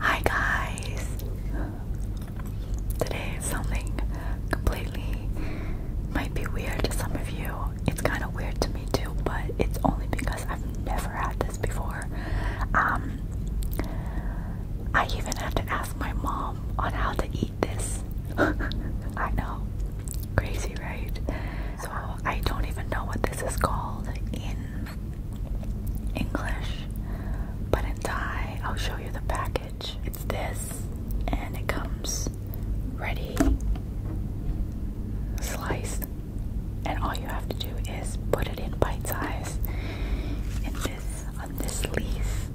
Hi guys! Today something completely might be weird to some of you. It's kind of weird to me too, but it's only because I've never had this before. Um, I even have to ask my mom on how to eat this. I know. Crazy, right? So I don't even know what this is called in English, but in Thai, I'll show you the package. It's this, and it comes ready, sliced, and all you have to do is put it in bite size. In this, on this leaf,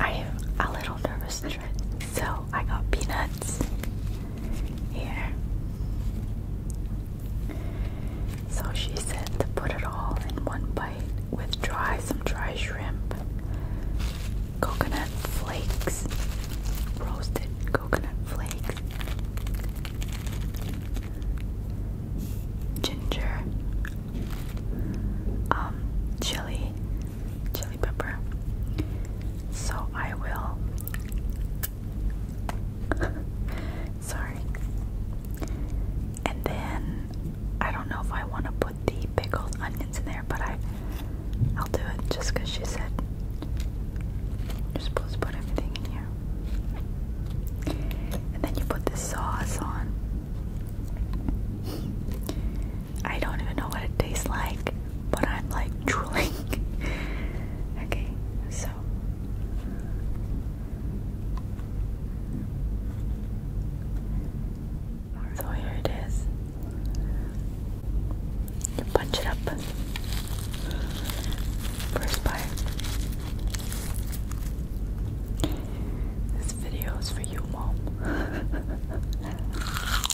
I am a little nervous. So so I got peanuts here. So she said to put it all in one bite with dry, some dry shrimp, coconut flakes, roasted coconut flakes, ginger, um, chili, chili pepper. So I will. Sorry. And then I don't know if I want to put the pickled onions in there, but I I'll do it just because she said you're supposed to put everything in here. And then you put this sauce on. I don't even know what it tastes like, but I'm like drooling. okay, so. So here it is. punch it up. First bite. This video is for you, Mom.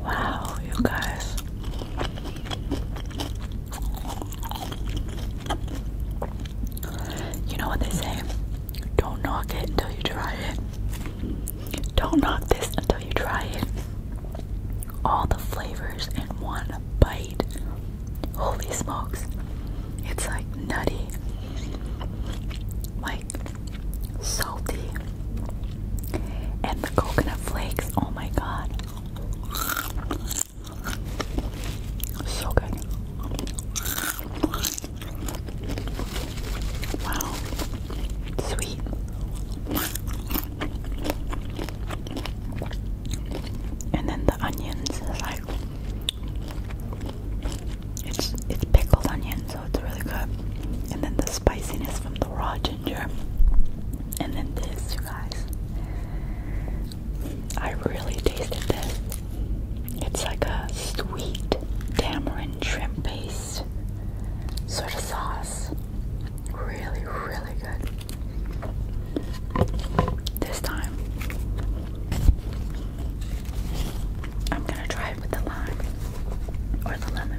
Wow, you guys. You know what they say? Don't knock it until you try it. Don't knock this until you try it. All the flavors in one bite. Holy smokes. It's like nutty. Like salty, and the coconut flakes. Oh my god, so good! Wow, sweet. And then the onions, like it's it's pickled onion, so it's really good. And then the spiciness from the raw ginger. And then this, you guys. I really tasted this. It's like a sweet tamarind shrimp paste sort of sauce. Really, really good. This time, I'm gonna try with the lime or the lemon.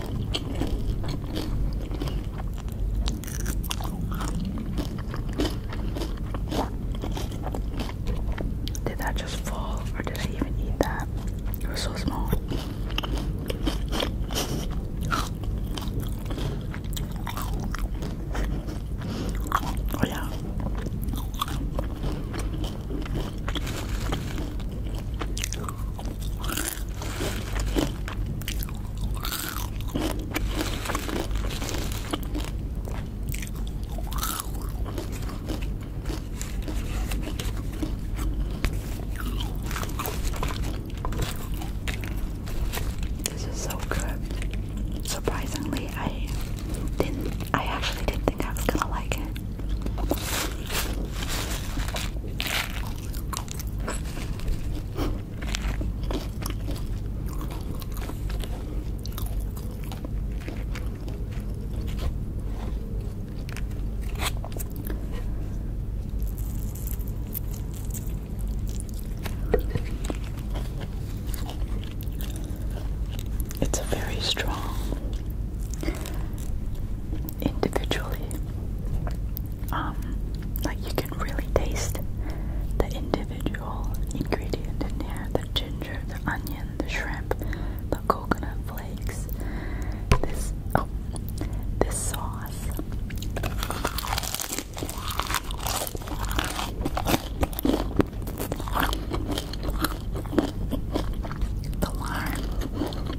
Did that just fall or did I even eat that? It was so small. Oh yeah. This is so good. Surprisingly, I didn't I actually didn't think I was gonna like it. It's a very strong individually. Um, like you can really taste the individual ingredient in here: the ginger, the onion, the shrimp, the coconut flakes. This oh, this sauce. The lime,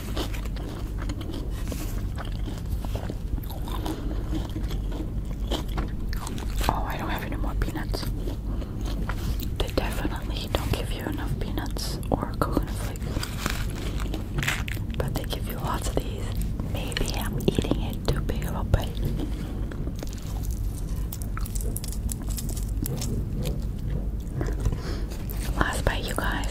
Oh, I don't have any more peanuts. They definitely don't give you enough peanuts or coconut flakes. But they give you lots of these. Maybe I'm eating it too big but Last bite, you guys.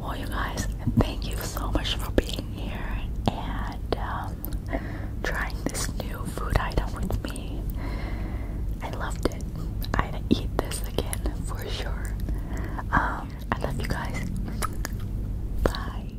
Well, you guys, thank you so much for being here and um, trying this new food item with me. I loved it. I'd eat this again for sure. Um, I love you guys. Bye.